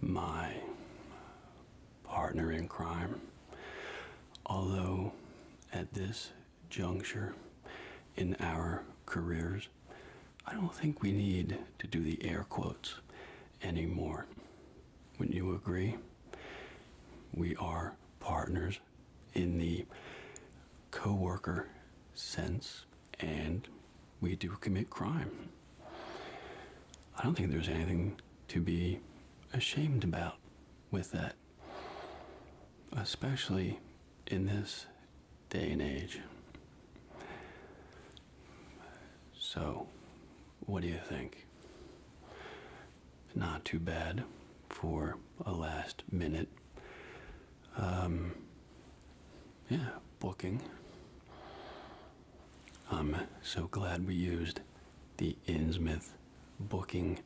my partner in crime. Although at this juncture in our careers, I don't think we need to do the air quotes anymore. Wouldn't you agree? We are partners in the coworker sense and we do commit crime. I don't think there's anything to be ashamed about with that, especially in this day and age. So, what do you think? Not too bad for a last minute. Um, yeah, booking. I'm um, so glad we used the Innsmouth booking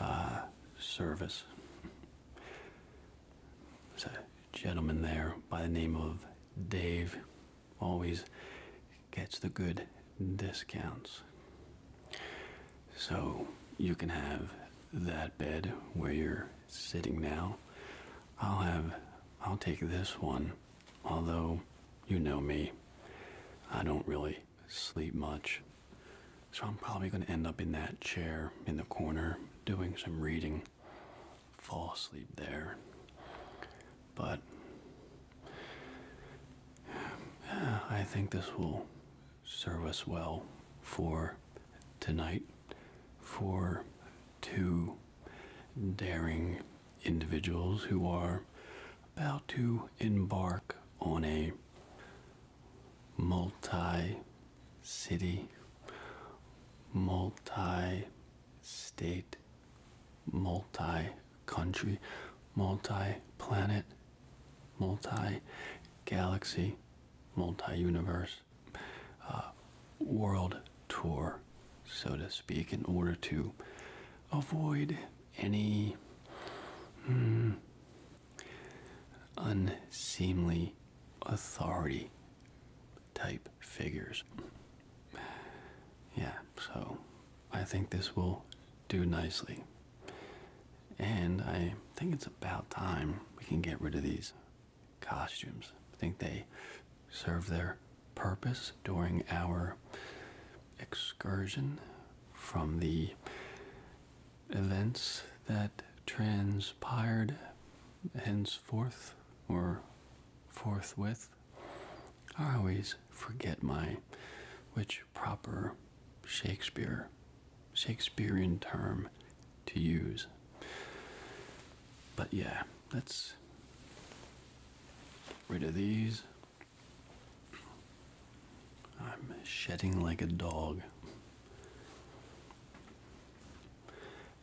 uh, service. There's a gentleman there by the name of Dave, always gets the good discounts. So you can have that bed where you're sitting now. I'll have, I'll take this one Although, you know me, I don't really sleep much. So I'm probably going to end up in that chair in the corner doing some reading, fall asleep there. But I think this will serve us well for tonight, for two daring individuals who are about to embark on a multi city, multi state, multi country, multi planet, multi galaxy, multi universe uh, world tour, so to speak, in order to avoid any hmm, unseemly authority type figures. Yeah, so I think this will do nicely. And I think it's about time we can get rid of these costumes. I think they serve their purpose during our excursion from the events that transpired henceforth or forthwith. I always forget my which proper Shakespeare Shakespearean term to use. But yeah, that's rid of these. I'm shedding like a dog.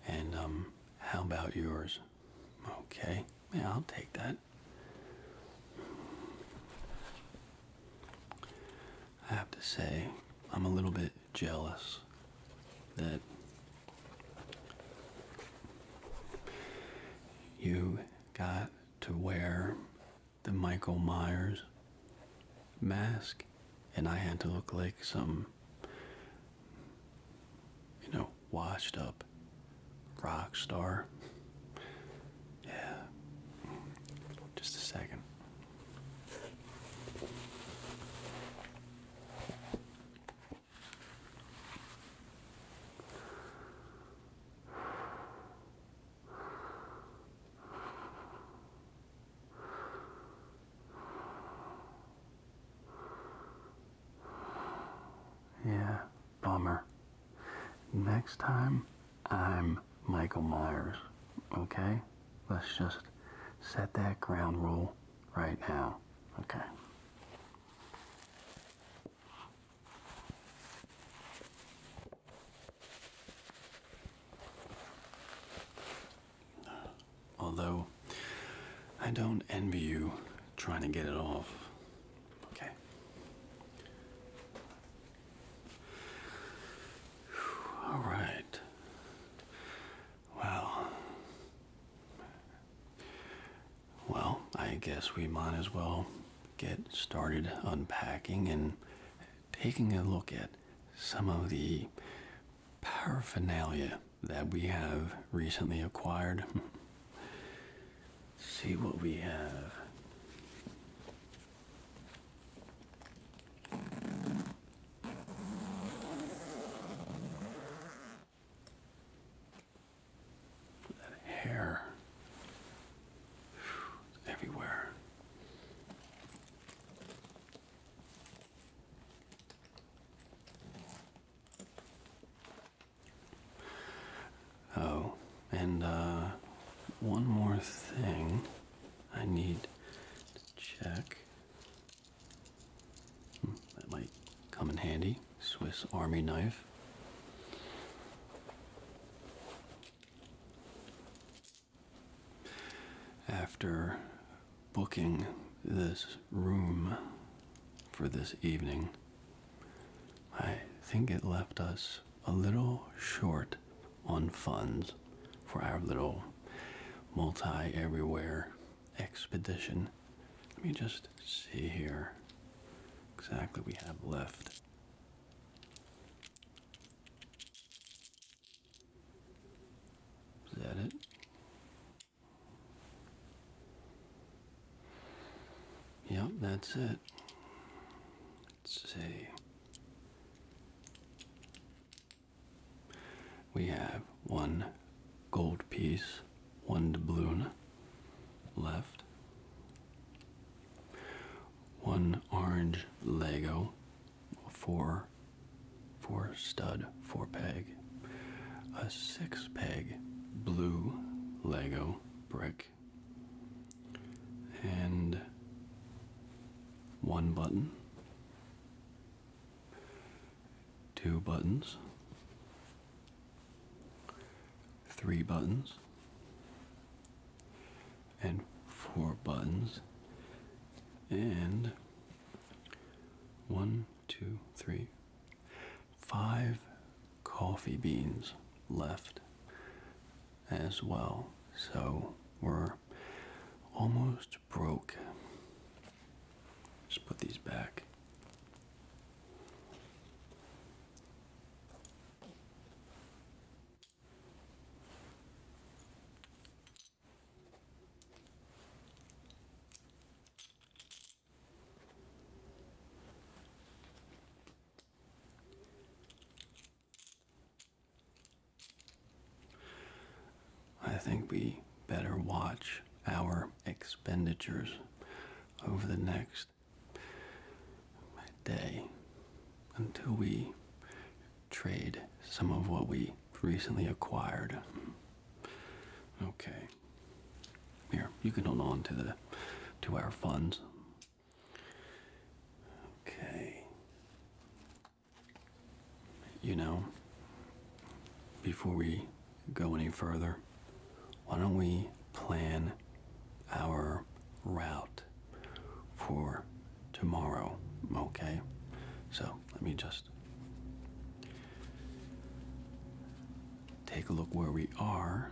And, um, how about yours? Okay, yeah, I'll take that. I have to say, I'm a little bit jealous that you got to wear the Michael Myers mask, and I had to look like some, you know, washed up rock star. Yeah, just a second. Yeah, bummer. Next time, I'm Michael Myers, okay? Let's just set that ground rule right now, okay? Although, I don't envy you trying to get it off. Okay. All right. Well, well, I guess we might as well get started unpacking and taking a look at some of the paraphernalia that we have recently acquired. See what we have. That hair everywhere. Oh, and uh, one more thing I need to check that might come in handy. Swiss Army knife. After booking this room for this evening, I think it left us a little short on funds for our little multi everywhere expedition. Let me just see here exactly we have left. Is that it? Yep, that's it. Let's see. We have one gold piece, one doubloon left, one orange Lego, four, four stud, four peg, a six peg blue Lego brick, and one button, two buttons, three buttons and four buttons and one, two, three, five coffee beans left as well. So we're almost broke. Just put these back. I think we better watch our expenditures over the next day until we trade some of what we recently acquired. Okay. Here, you can hold on to the to our funds. Okay. You know, before we go any further, why don't we plan our route for tomorrow? Okay, so let me just take a look where we are.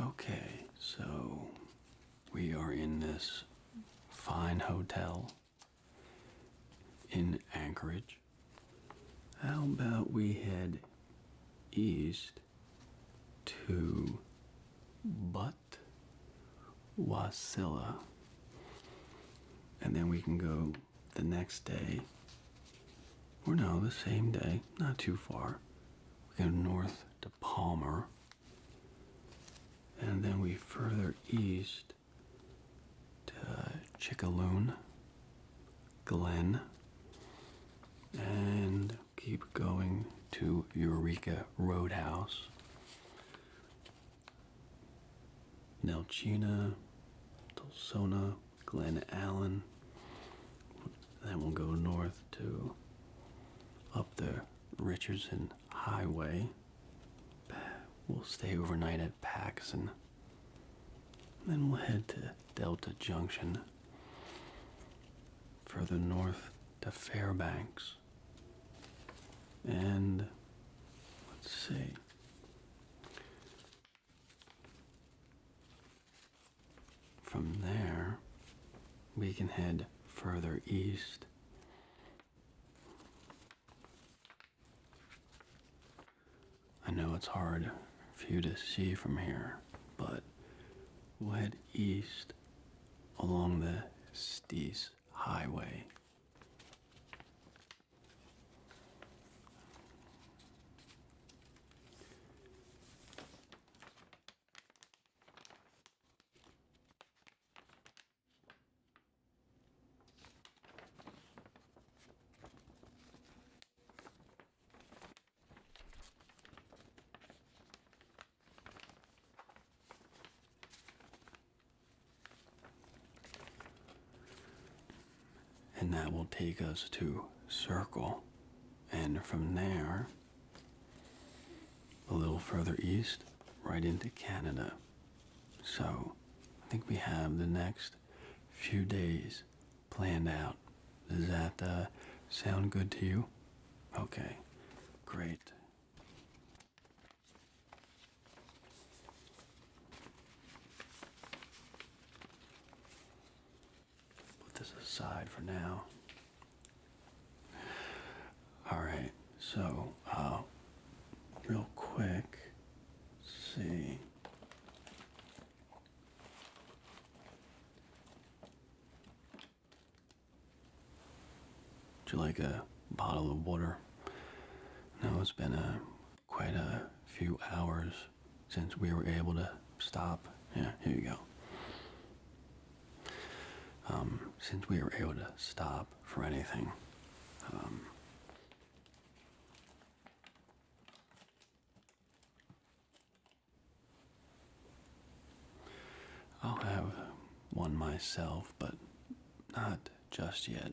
Okay, so we are in this fine hotel in Anchorage. How about we head east to Butte, Wasilla? And then we can go the next day, or no, the same day, not too far. We go north to Palmer, and then we further east to uh, Chickaloon, Glen, and keep going to Eureka Roadhouse, Nelchina, Tulsona, Glen Allen. Then we'll go north to up the Richardson Highway We'll stay overnight at Paxton, then we'll head to Delta Junction. Further north to Fairbanks. And let's see. From there, we can head further east I know it's hard for you to see from here, but we'll head east along the Stees Highway. And that will take us to Circle. And from there, a little further east, right into Canada. So I think we have the next few days planned out. Does that uh, sound good to you? Okay, great. Put this aside for now. All right, so uh, real quick, see. Would you like a bottle of water? Now it's been a uh, quite a few hours since we were able to stop. Yeah, here you go. Um, since we were able to stop for anything. Um, I'll have one myself, but not just yet.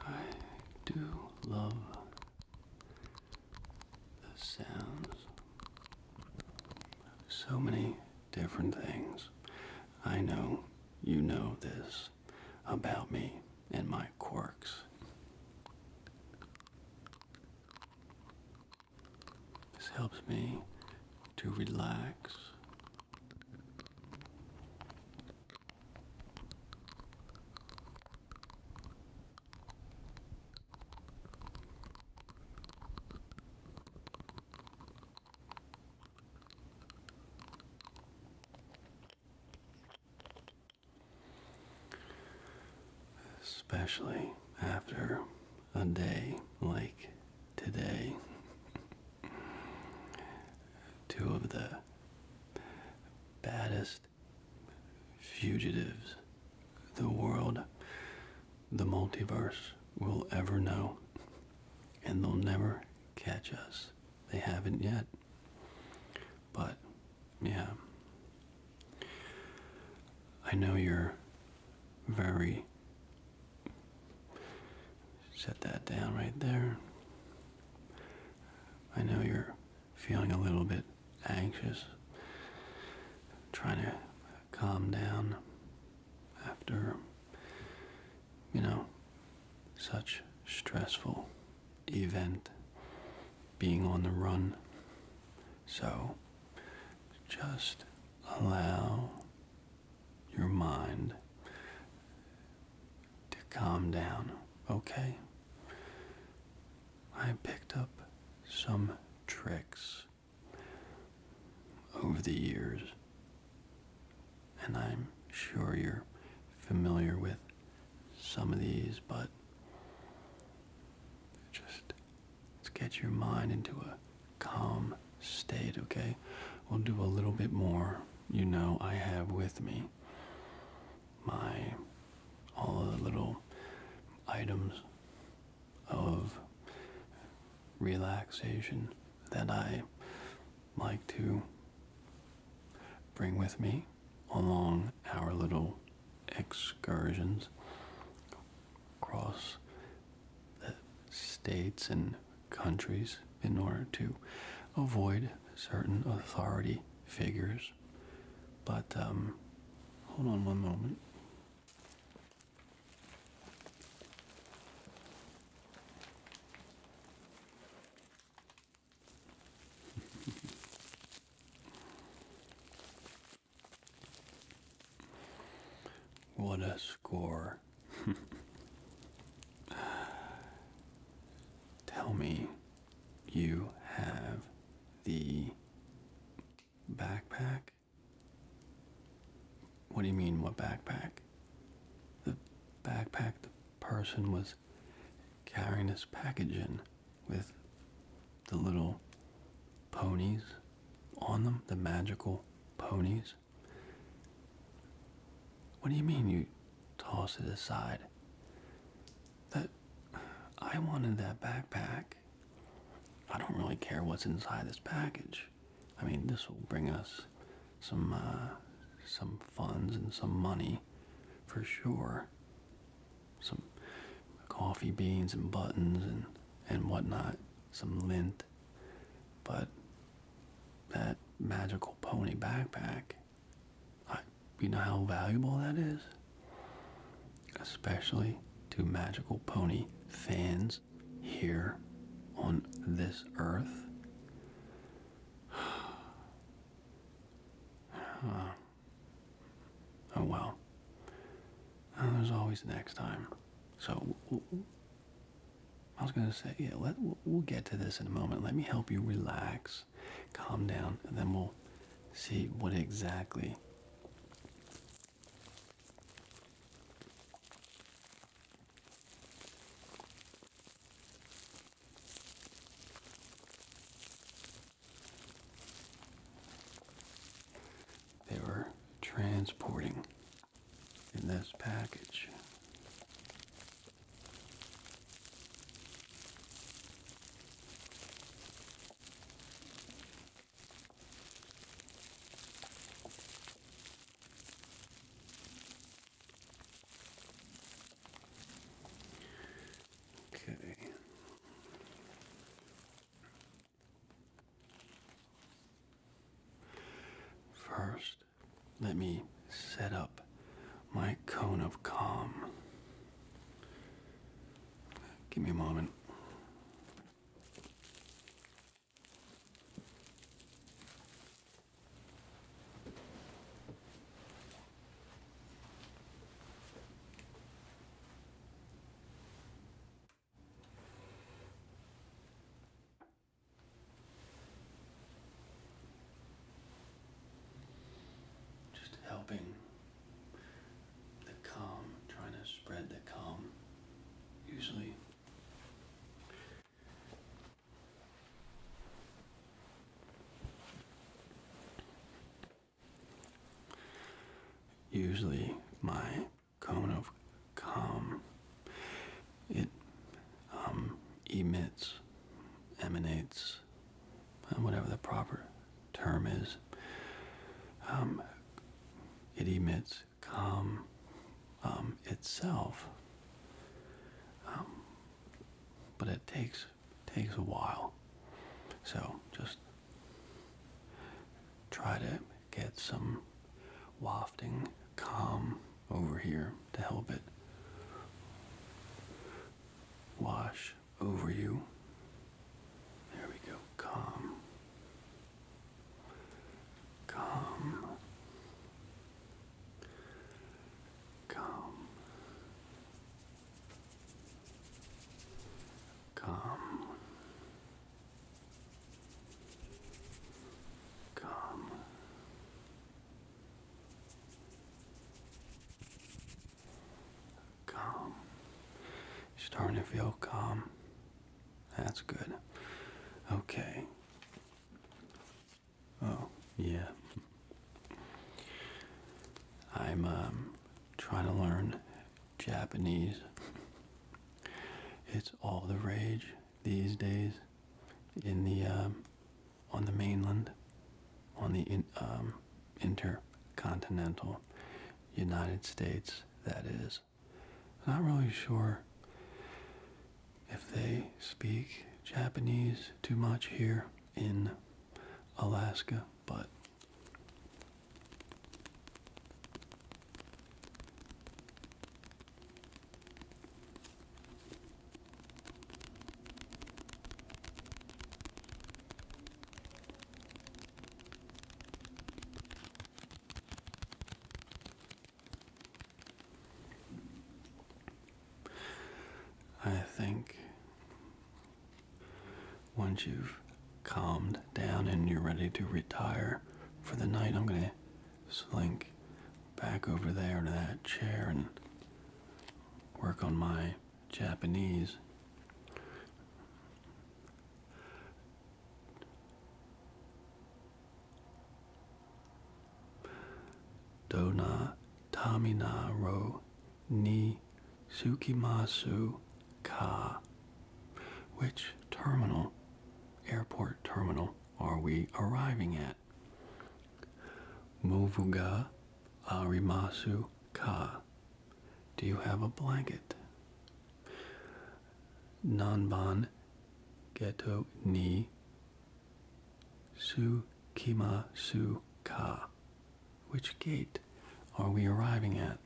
I do love the sounds. of So many different things. I know you know this about me and my quirks. This helps me to relax Especially after a day like today. Two of the baddest fugitives the world, the multiverse, will ever know. And they'll never catch us. They haven't yet. But, yeah. I know you're very Set that down right there. I know you're feeling a little bit anxious, trying to calm down after, you know, such stressful event being on the run. So just allow your mind to calm down, okay? I picked up some tricks over the years, and I'm sure you're familiar with some of these, but just let get your mind into a calm Stayed okay? We'll do a little bit more. You know, I have with me my all the little items of relaxation that I like to bring with me along our little excursions across the states and countries in order to avoid certain authority figures. But um, hold on one moment. what a score. Tell me you have the backpack. What do you mean, what backpack? The backpack the person was carrying his package in with the little ponies on them, the magical ponies. What do you mean you toss it aside? That I wanted that backpack. I don't really care what's inside this package. I mean, this will bring us some uh, some funds and some money for sure. Some coffee beans and buttons and and whatnot. Some lint. But that magical pony backpack, you know how valuable that is? Especially to magical pony fans here on this earth. oh well. there's always next time. So I was going to say, yeah, let, we'll get to this in a moment. Let me help you relax, calm down, and then we'll see what exactly they were transporting in this package. Okay. First, let me set up my cone of calm. Give me a moment. Just helping the calm, trying to spread the calm. Usually, usually my cone of calm it um, emits, emanates, uh, whatever the proper term is. Um, it emits calm um, itself, but it takes takes a while. So just try to get some wafting calm over here to help it wash over you. There we go. Calm. Calm. Calm. Calm. Calm. Calm. You're starting to feel calm. That's good. Okay. Oh, yeah. I'm um, trying to learn Japanese. it's all the rage these days in the um, on the mainland, on the um, intercontinental United States. That is, not really sure if they speak Japanese too much here in Alaska, but. I think once you've calmed down and you're ready to retire for the night, I'm going to slink back over there to that chair and work on my Japanese. Dona Tamina ro ni Tsukimasu ka. Which terminal, airport terminal, are we arriving at? that. Movuga arimasu ka. Do you have a blanket? Nanban geto ni su kima su ka. Which gate are we arriving at?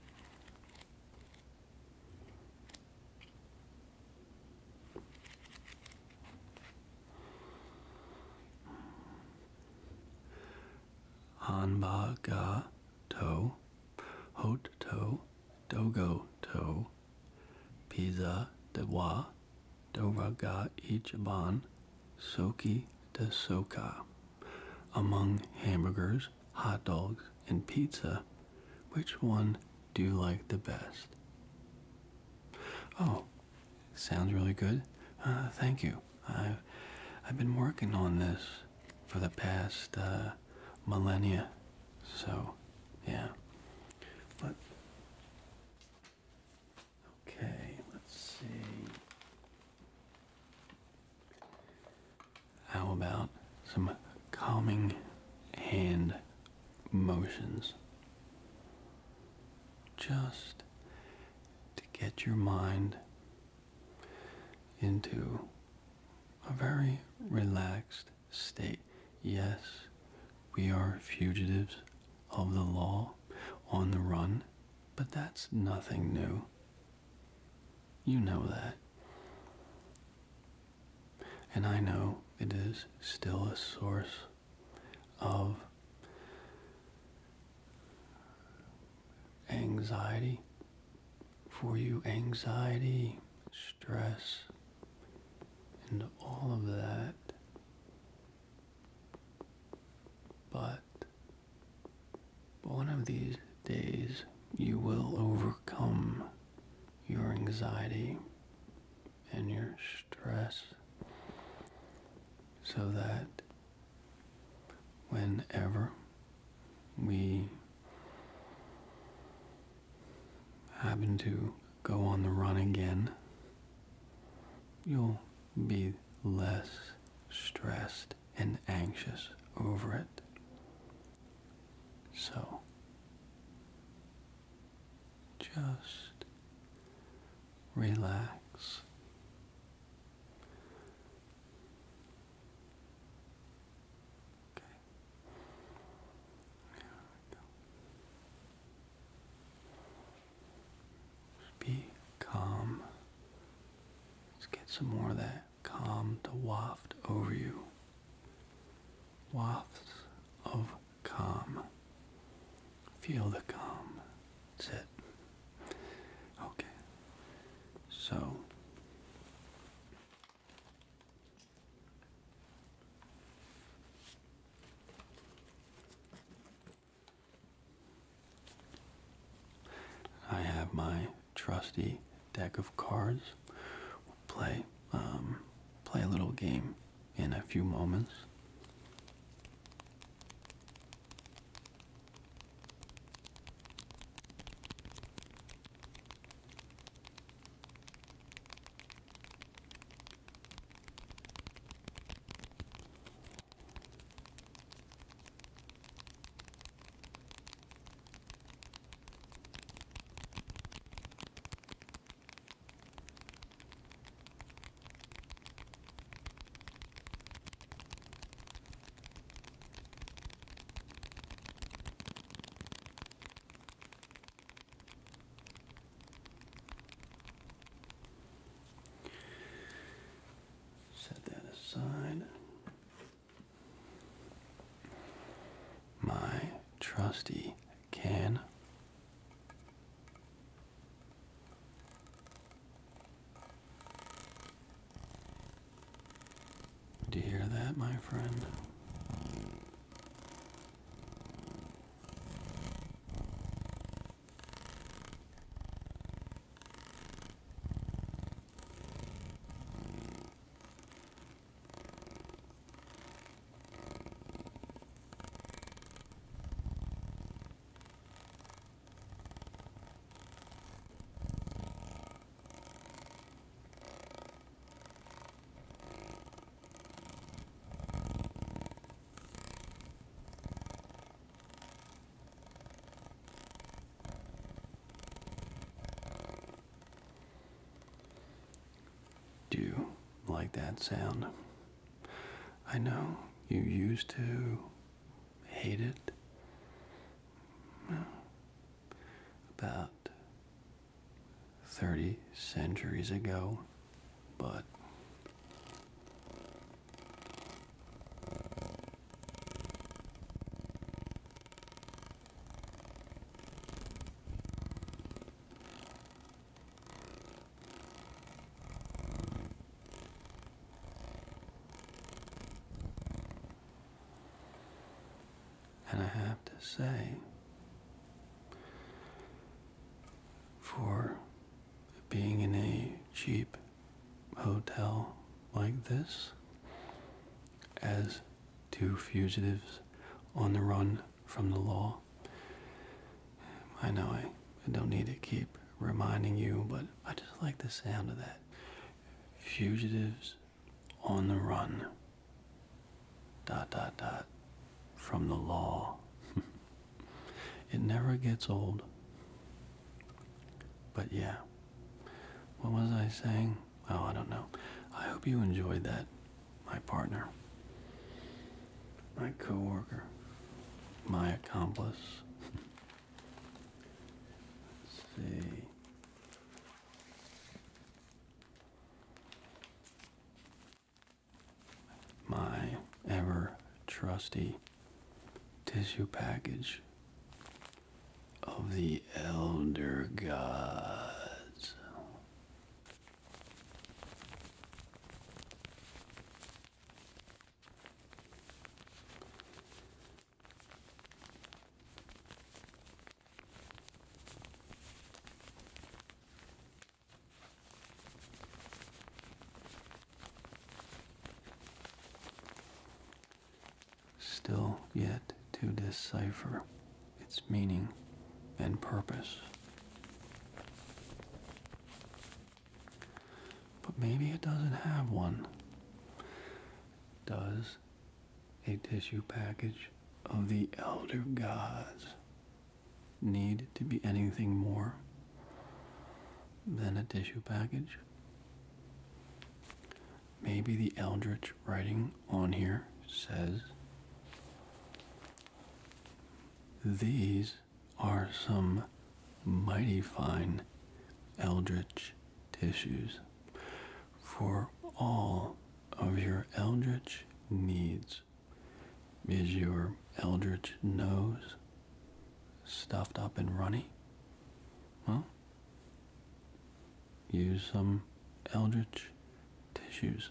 Hanba ga to, hot to, dogo to, pizza de wa, dora ga ichiban, soki de soka. Among hamburgers, hot dogs, and pizza, which one do you like the best? Oh, sounds really good. Uh, thank you. I've, I've been working on this for the past uh, millennia. So, yeah. But, okay, let's see. How about some calming hand motions just to get your mind into a very relaxed state. Yes, we are fugitives of the law on the run, but that's nothing new. You know that. And I know it is still a source of anxiety for you, anxiety, stress, and all of that. But one of these days, you will overcome your anxiety and your stress so that whenever we happen to go on the run again, you'll be less stressed and anxious over it. So, just relax. Okay. There we go. be calm. Let's get some more of that calm to waft over you wafts of calm. Feel the calm. That's it. Okay. So. I have my trusty deck of cards. play, um, play a little game in a few moments. Set that aside. My trusty can do you hear that, my friend? Do you like that sound? I know you used to hate it. About 30 centuries ago, but and I have to say, for being in a cheap hotel like this, as two fugitives on the run from the law. I know I, don't need to keep reminding you, but I just like the sound of that. Fugitives on the run. Dot, dot, dot. From the law. it never gets old. But yeah. What was I saying? Oh, I don't know. I hope you enjoyed that my partner, my coworker, my accomplice. Let's see. My ever trusty tissue package of the elder gods. Still yet to decipher its meaning and purpose. But maybe it doesn't have one. Does a tissue package of the elder gods need to be anything more than a tissue package? Maybe the eldritch writing on here says these are some mighty fine eldritch tissues for all of your eldritch needs. Is your eldritch nose stuffed up and runny? Well, use some eldritch tissues.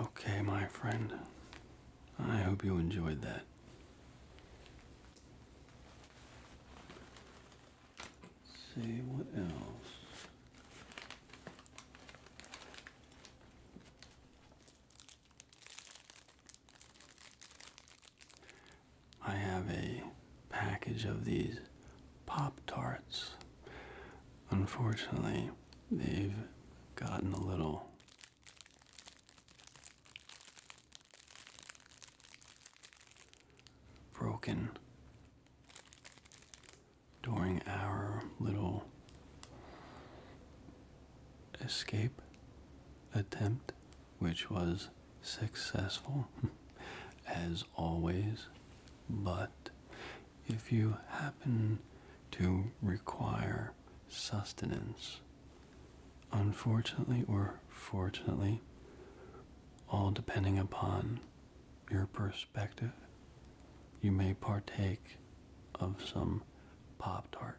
Okay, my friend. I hope you enjoyed that see what else. I have a package of these Pop Tarts. Unfortunately, they've gotten a little broken during our little escape attempt, which was successful as always. But if you happen to require sustenance, unfortunately or fortunately, all depending upon your perspective, you may partake of some Pop Tart.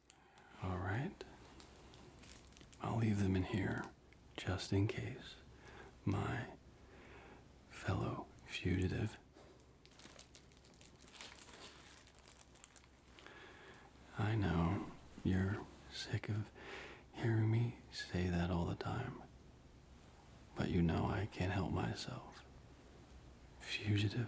All right. I'll leave them in here just in case my fellow fugitive I know you're sick of hearing me say that all the time. But you know I can't help myself. Fugitive.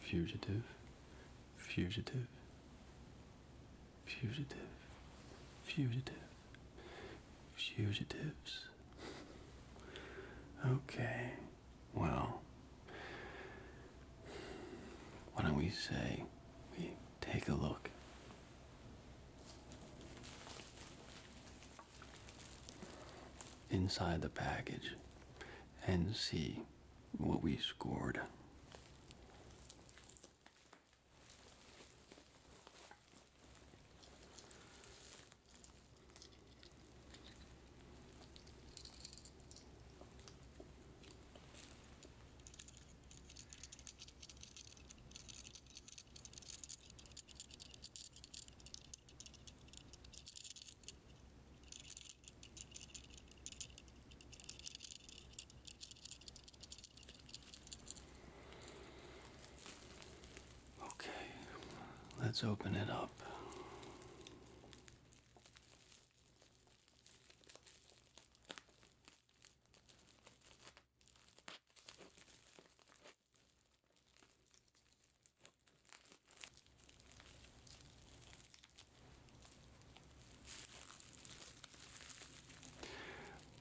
fugitive, fugitive, fugitive, fugitive, fugitives. Okay, well, why don't we say we take a look? Inside the package and see what we scored. Okay, let's open it up.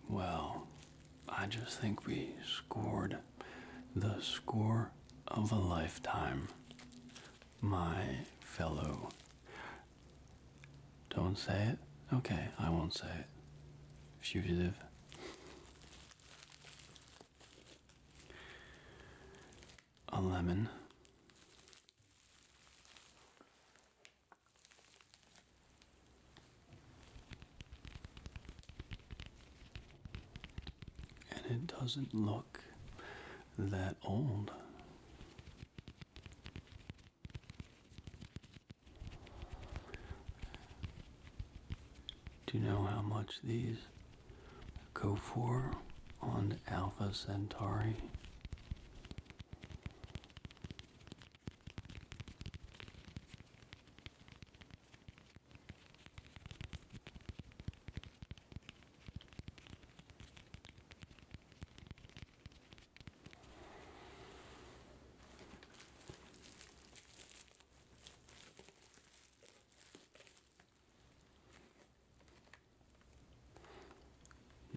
Well, I just think we scored the score of a lifetime, my fellow. Don't say it? Okay, I won't say it. Fugitive. A lemon. And it doesn't look that old. Do you know how much these go for on Alpha Centauri.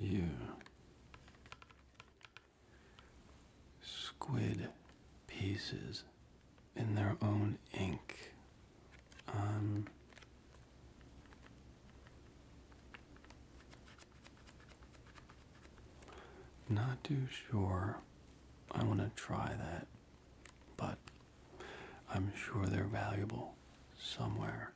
You squid pieces in their own ink. Um, not too sure I want to try that, but I'm sure they're valuable somewhere.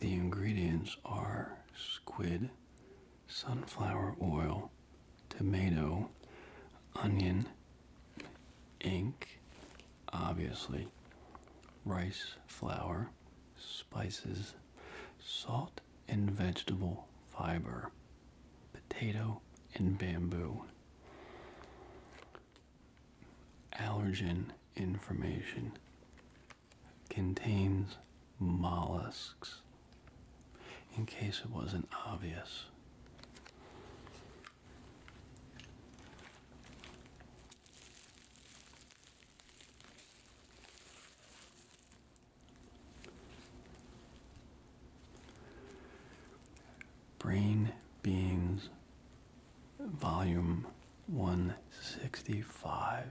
The ingredients are squid, sunflower oil, tomato, onion, ink, obviously, rice flour, spices, salt, and vegetable fiber, potato and bamboo. Allergen information contains mollusks, in case it wasn't obvious. Brain Beans, Volume 165.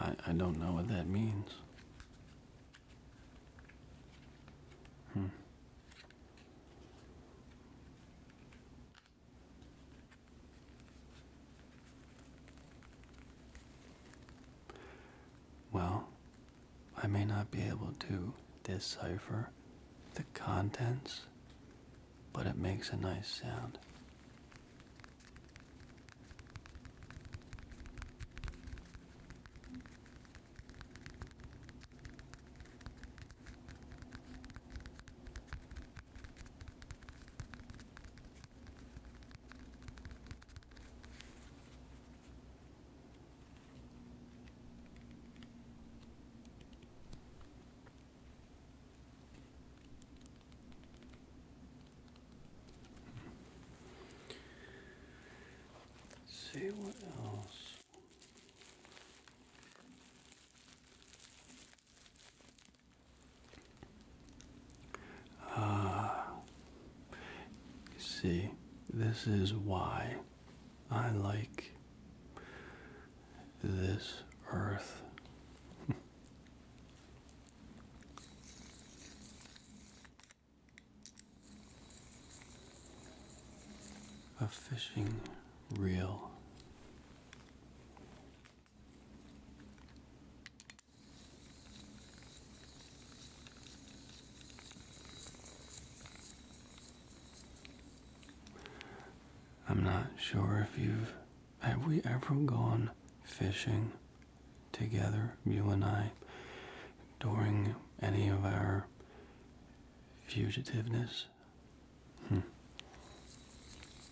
I, I don't know what that means. Hmm. Well, I may not be able to decipher the contents, but it makes a nice sound. Let's see what else. Uh, see, this is why I like this earth. A fishing reel. I'm not sure if you've. Have we ever gone fishing together, you and I, during any of our fugitiveness? Hmm.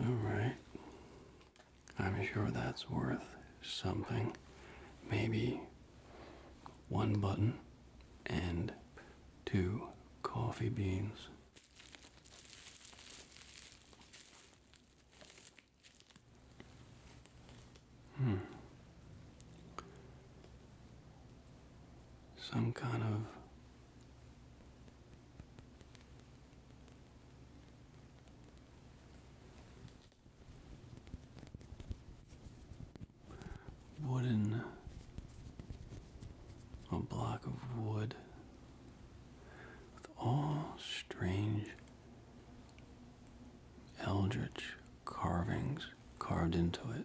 All right. I'm sure that's worth something. Maybe one button and two coffee beans. Hmm. Some kind of Wooden, a block of wood with all strange eldritch carvings carved into it.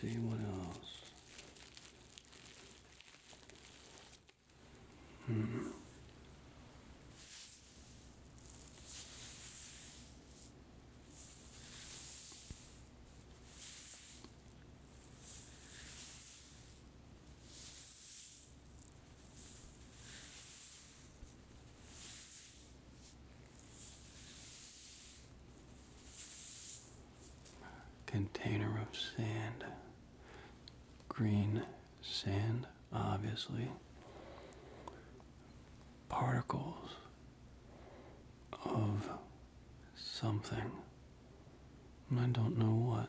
See what else? Hmm. Container of sand. Green sand, obviously. Particles of something. I don't know what.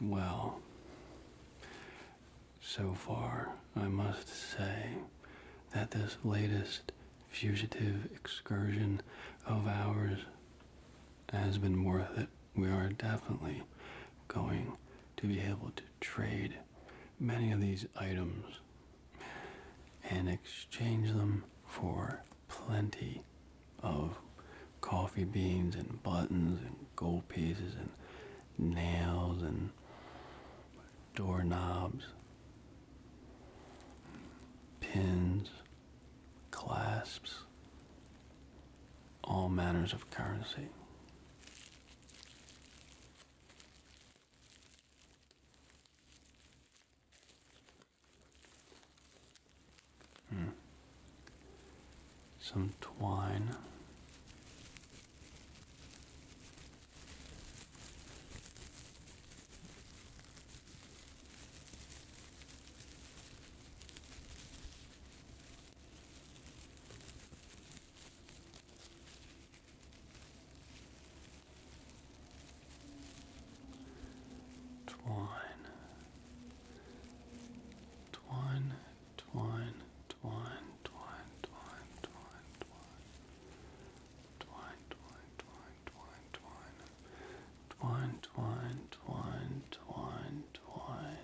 Well, so far, I must say that this latest fugitive excursion of ours has been worth it. We are definitely going to be able to trade many of these items and exchange them for plenty of coffee beans and buttons and gold pieces and nails and doorknobs, pins, clasps, all manners of currency. Hmm. Some twine. Twine. Twine, twine, twine, twine, twine, twine, twine. Twine, twine, twine, twine, twine. Twine, twine, twine, twine, twine.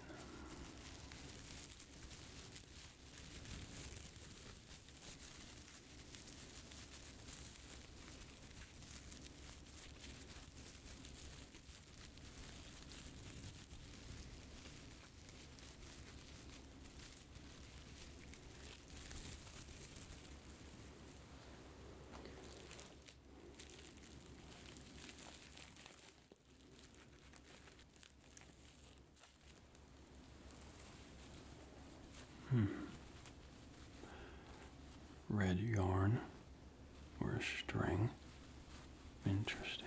Hmm. Red yarn or a string. Interesting.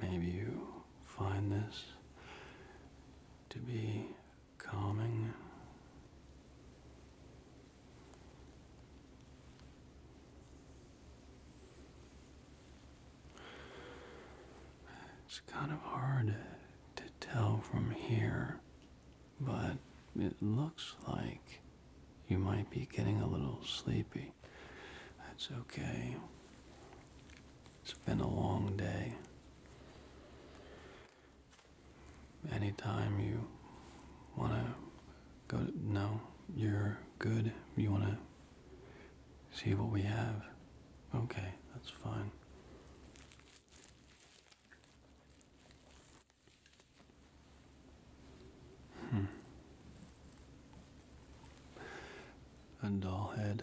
Maybe you find this to be calming. It's kind of hard to tell from here, but it looks like you might be getting a little sleepy. That's okay. It's been a long day. Anytime you want to go, to, no, you're good. You want to see what we have. Okay, that's fine. Hmm. And all head.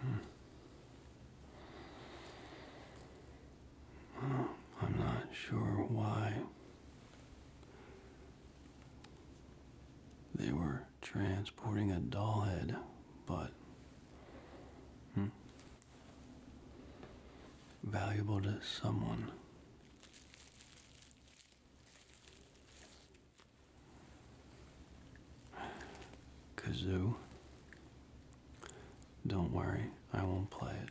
Hmm. I'm not sure why they were transporting a doll head, but hmm, valuable to someone. Kazoo. Don't worry, I won't play it.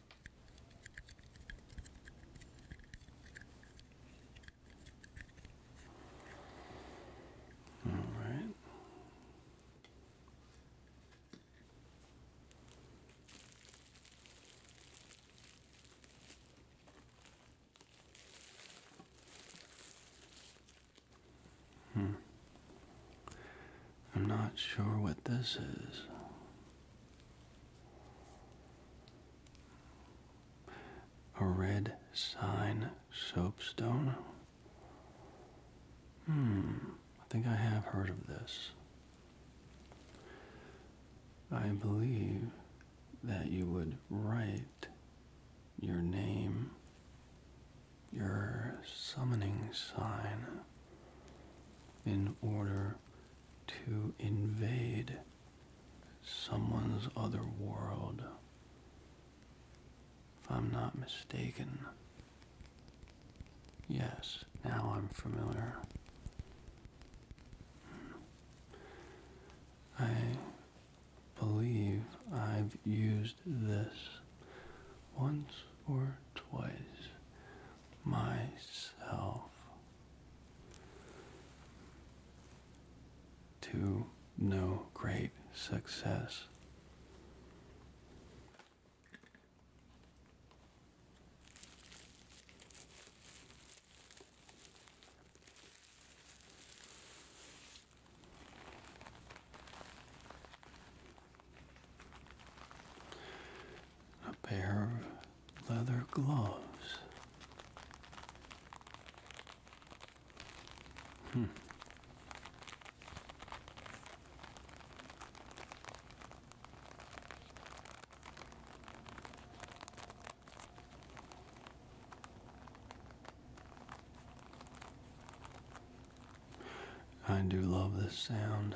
All right. Hmm. I'm not sure what this is. A red sign soapstone? Hmm, I think I have heard of this. I believe that you would write your name, your summoning sign, in order to invade someone's other world. If I'm not mistaken. Yes, now I'm familiar. Hmm. I believe I've used this once or twice myself to no great success a pair of leather gloves. Hmm. I do love this sound.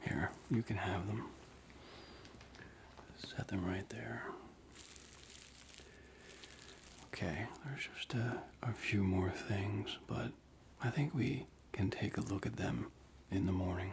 Here, you can have them. Set them right there. Okay, there's just a, few more things, but I think we can take a look at them in the morning.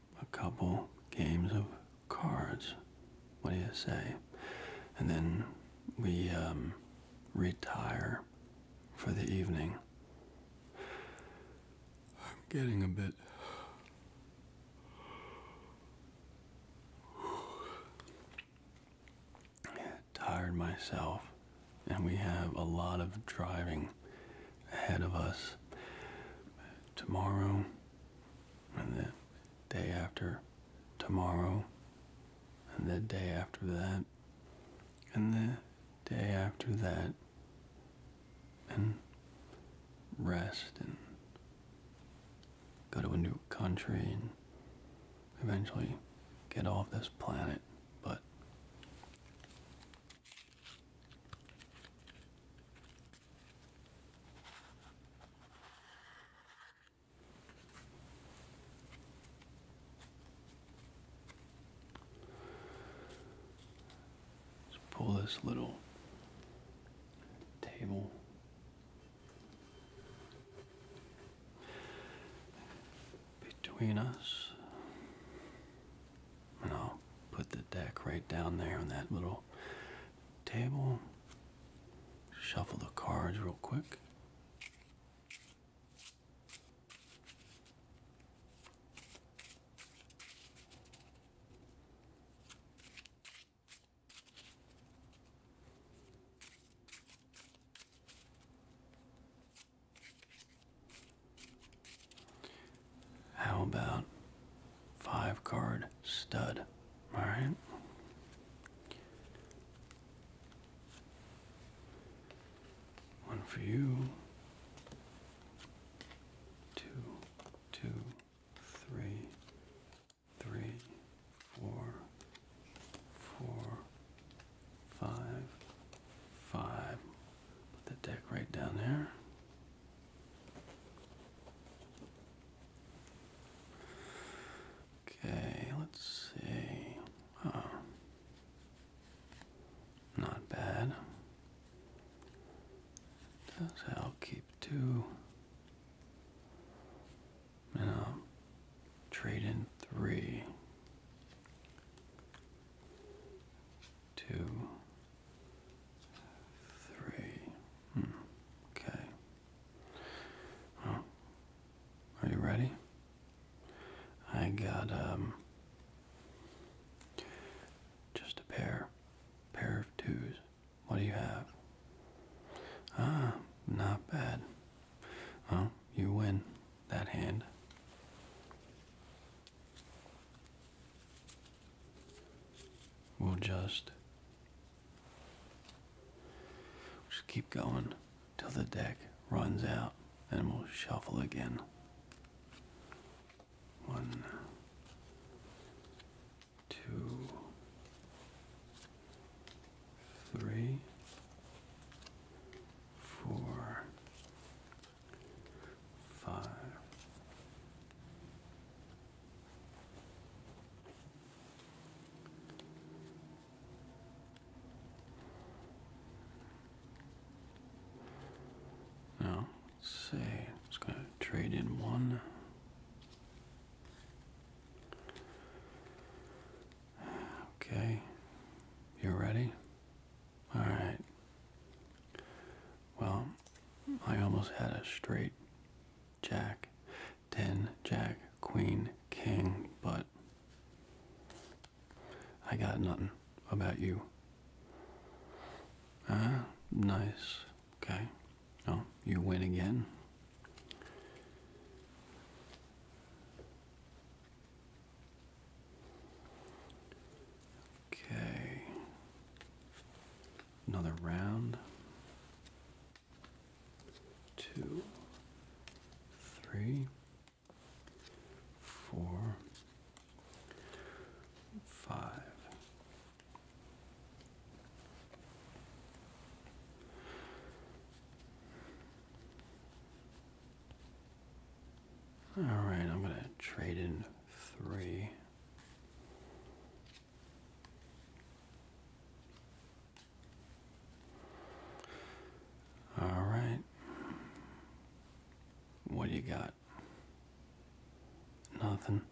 a couple games of cards. What do you say? And then we um, retire for the evening. I'm getting a bit. tired myself and we have a lot of driving ahead of us. Tomorrow and then day after tomorrow, and the day after that, and the day after that, and rest and go to a new country and eventually get off this planet. But Let's pull this little table. Between us, and I'll put the deck right down there on that little table. Shuffle the cards real quick. How about five card stud? Alright. One for you. Two, two, three, three, four, four, five, five. Put the deck right down there. Okay, let's see. Not bad. I'll keep two. And I'll trade in three. Two. Three. Hmm. Okay. Well, are you ready? I got um just a pair, pair of twos. What do you have? Ah, not bad. Well, you win that hand. We'll just just keep going till the deck runs out and we'll shuffle again. One, two, three, four, five. Now, let's see, it's going to trade in one. Okay, you ready? All right. Well, I almost had a straight jack, 10, jack, queen, king, but I got nothing about you. Ah, nice. Okay. Oh, you win again. Okay. Another round. Two, three, four, five. All right, I'm going to trade in three. All right. What do you got? Nothing.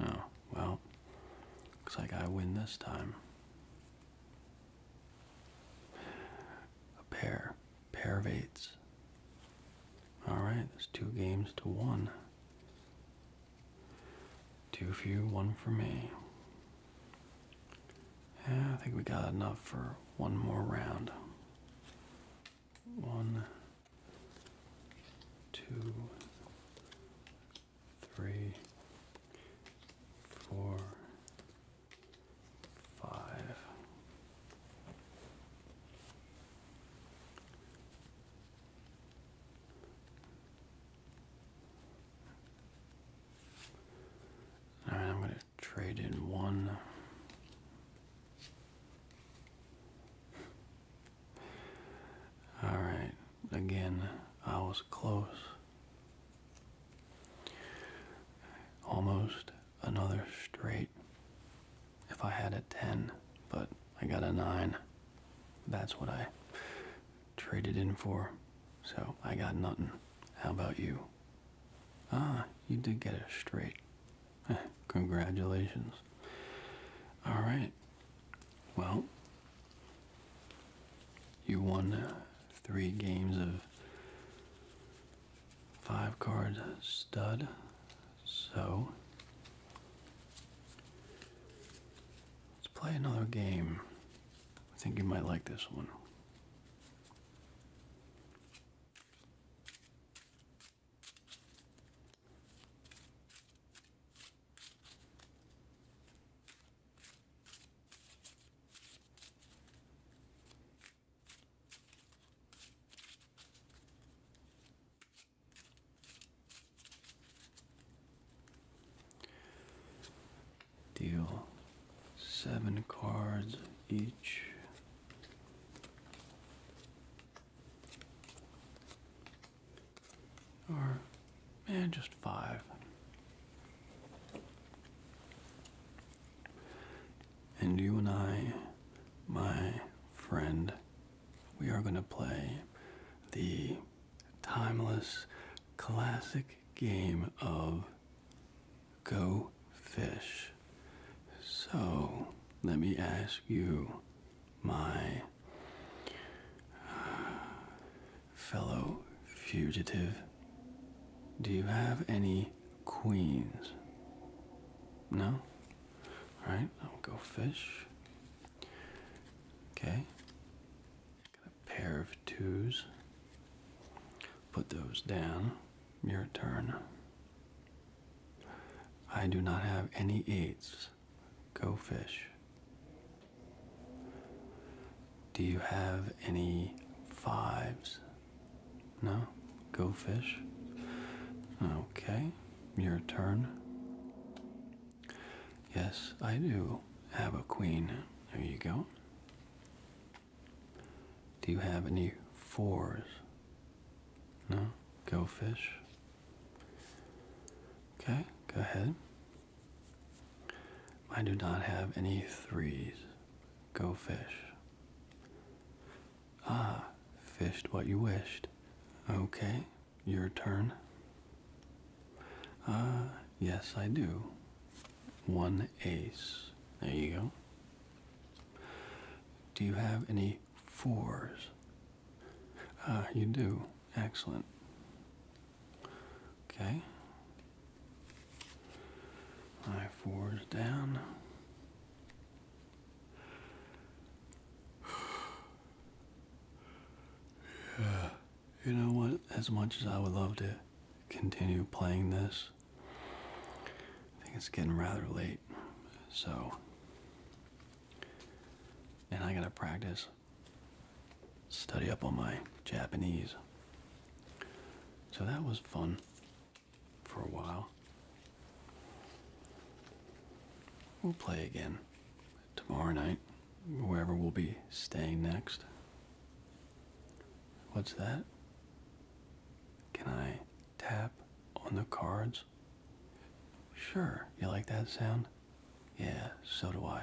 No. well, looks like I win this time. A pair pair of eights. All right, there's two games to one. Two for you, one for me. Yeah, I think we got enough for one more round. One, two, three, four, five, right, I'm going to trade in one. All right, again, I was close. Almost another straight. If I had a 10, but I got a 9, that's what I traded in for. So I got nothing. How about you? Ah, you did get a straight. Congratulations. All right. Well, you won uh, three games of five card stud. So let's play another game. I think you might like this one. Deal seven cards each. Or, man, just five. And you and I, my friend, we are going to play the timeless classic game of Go Fish. So, let me ask you, my uh, fellow fugitive, do you have any queens? No? Alright, I'll go fish. Okay. Got a pair of twos. Put those down. Your turn. I do not have any eights. Go fish. Do you have any fives? No? Go fish? Okay, your turn. Yes, I do have a queen. There you go. Do you have any fours? No? Go fish? Okay, go ahead. I do not have any threes. Go fish. Ah, fished what you wished. Okay, your turn. Ah, yes, I do. One ace. There you go. Do you have any fours? Ah, you do. Excellent. Okay. My fours down yeah, you know what? As much as I would love to continue playing this, I think it's getting rather late. So, and I gotta practice, study up on my Japanese. So that was fun for a while. We'll play again tomorrow night, wherever we'll be staying next. What's that? Can I tap on the cards? Sure. You like that sound? Yeah, so do I.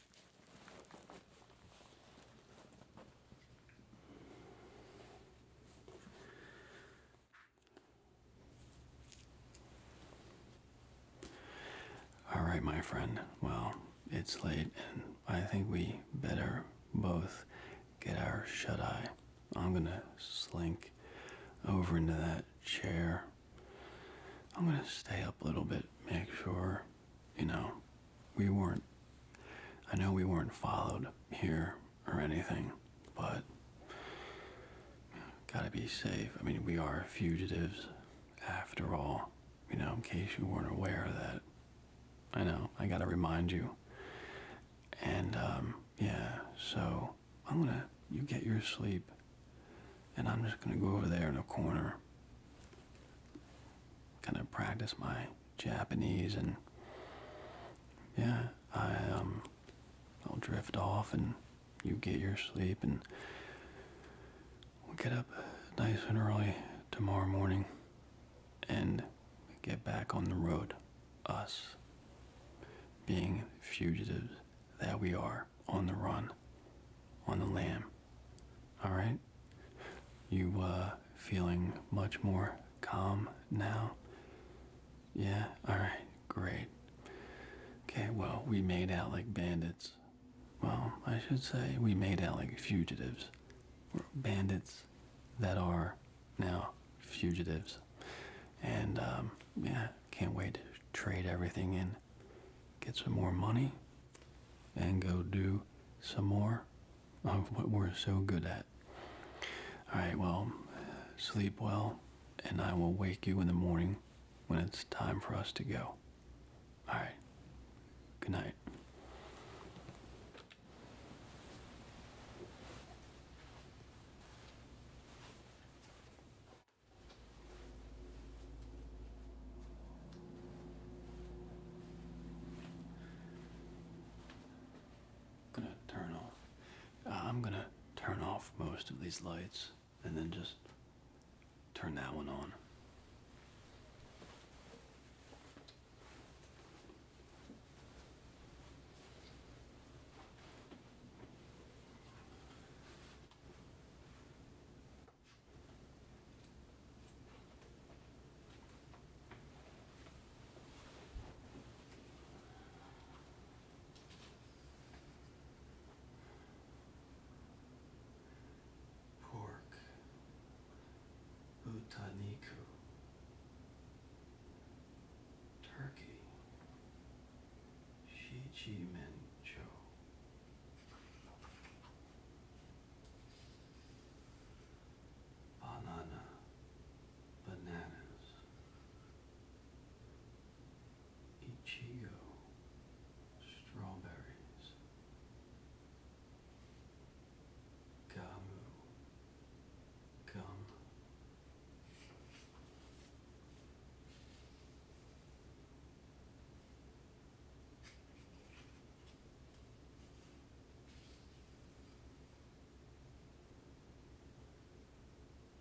All right, my friend. Well, it's late, and I think we better both get our shut eye. I'm gonna slink over into that chair. I'm gonna stay up a little bit, make sure you know, we weren't, I know we weren't followed here or anything, but gotta be safe. I mean, we are fugitives after all, you know, in case you weren't aware of that. I know, I gotta remind you. And, um, yeah, so I'm gonna, you get your sleep, and I'm just gonna go over there in a corner, kind of practice my Japanese, and yeah, I um, I'll drift off, and you get your sleep, and we'll get up nice and early tomorrow morning, and get back on the road, us being fugitives that we are on the run, on the lam. All right? You uh feeling much more calm now? Yeah, all right. Great. Okay, well, we made out like bandits. Well, I should say we made out like fugitives. bandits that are now fugitives. And um yeah, can't wait to trade everything in. Get some more money and go do some more of oh, what we're so good at. All right, well, sleep well, and I will wake you in the morning when it's time for us to go. All right, good night. I'm gonna turn off. Uh, I'm gonna turn off most of these lights and then just turn that one on. Pork Utaniku Turkey Shichi Mincho Banana. Bananas. Ichigo. Strawberries. Gamu. Gum.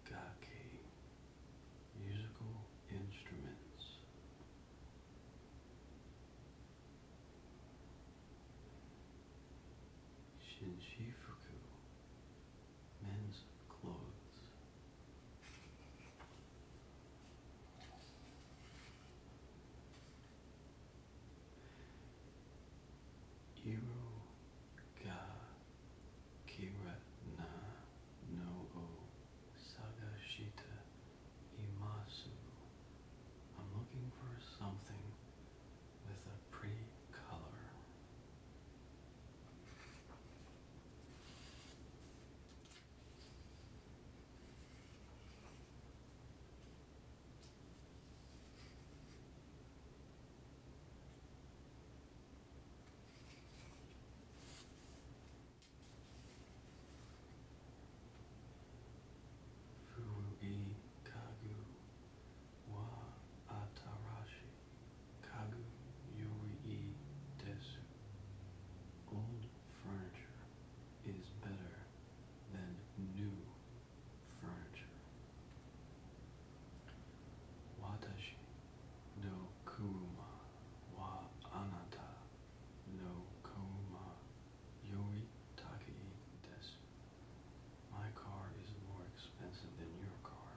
Gaki musical instruments. Shinshifuku men's clothes. Iru kira no sagashita imasu. I'm looking for something with a pretty color. Furugi Kagu wa Atarashi Kagu Yuri Desu Old furniture is better than new furniture. Watashi no kuma wa anata no kuma yoitake desu. My car is more expensive than your car.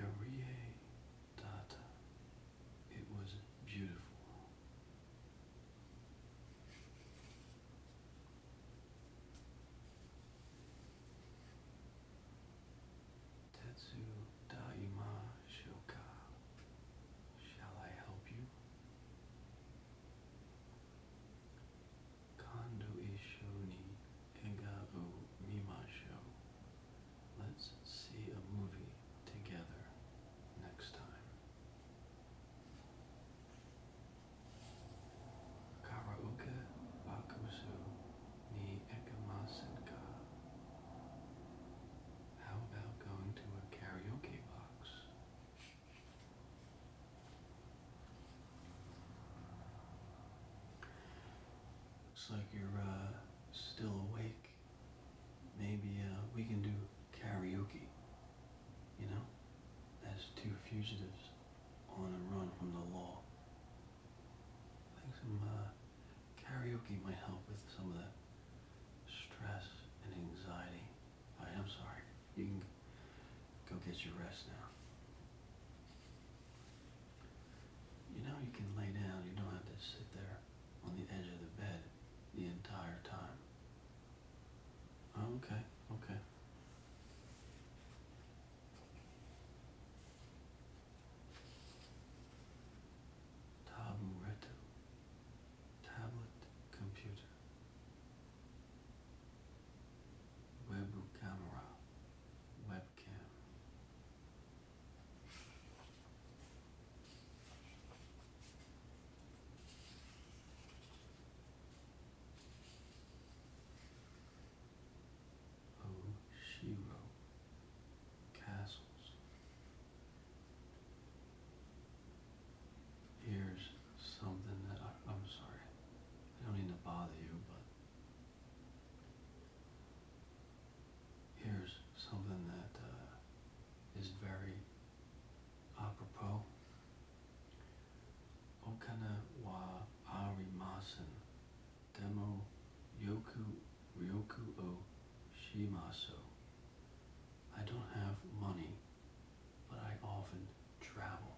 Korea Data. It was beautiful. Tetsu Daima Shoka. Shall I help you? Kondo isho ni ega Let's see a movie together next time. Karaoke How about going to a karaoke box? Looks like you're uh, still awake. Maybe uh, we can do karaoke. You know? As two fugitives on the run from the law. I think some uh, karaoke might help with some of that stress and anxiety. I am sorry. You can go get your rest now. You know you can lay down. You don't have to sit there on the edge of the bed the entire time. Oh, okay, okay. Taburetu. Tablet computer. Web Webcam. Oshiro Castles. Here's something that I, am sorry, I don't mean to bother you, but here's something that uh, is very apropos Okana wa arimasen. Demo yoku ryoku o shimasu. I don't have money, but I often travel.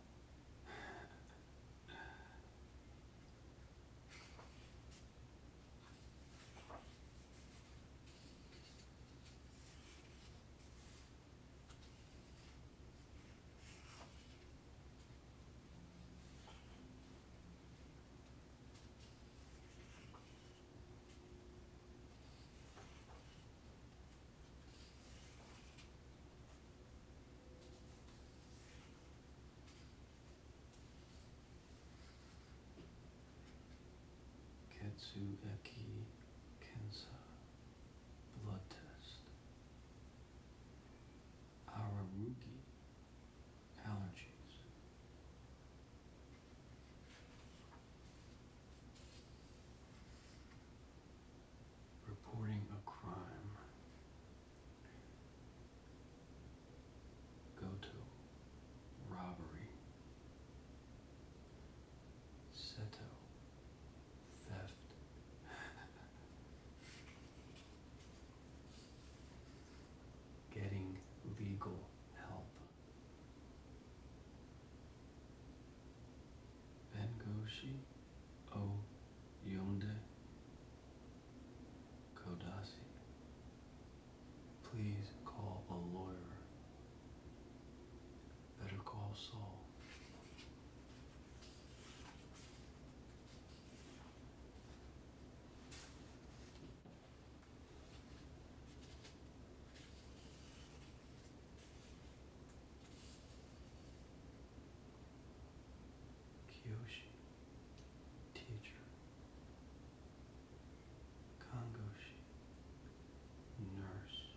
Katsuaki Cancer blood test. Araruki allergies. Reporting a crime. Go to robbery. Seto. Theft. Getting legal help. Bengoshi O Yonde Kodasi. Please call a lawyer. Better Call Saul. Kiyoshi, teacher. Kangoshi, nurse.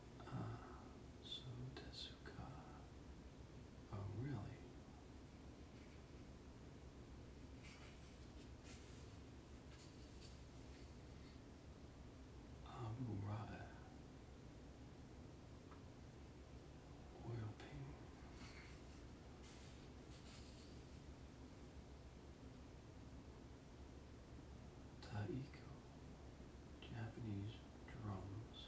Uh, Oh, really? Amurata. Oil ping. Taiko. Japanese drums.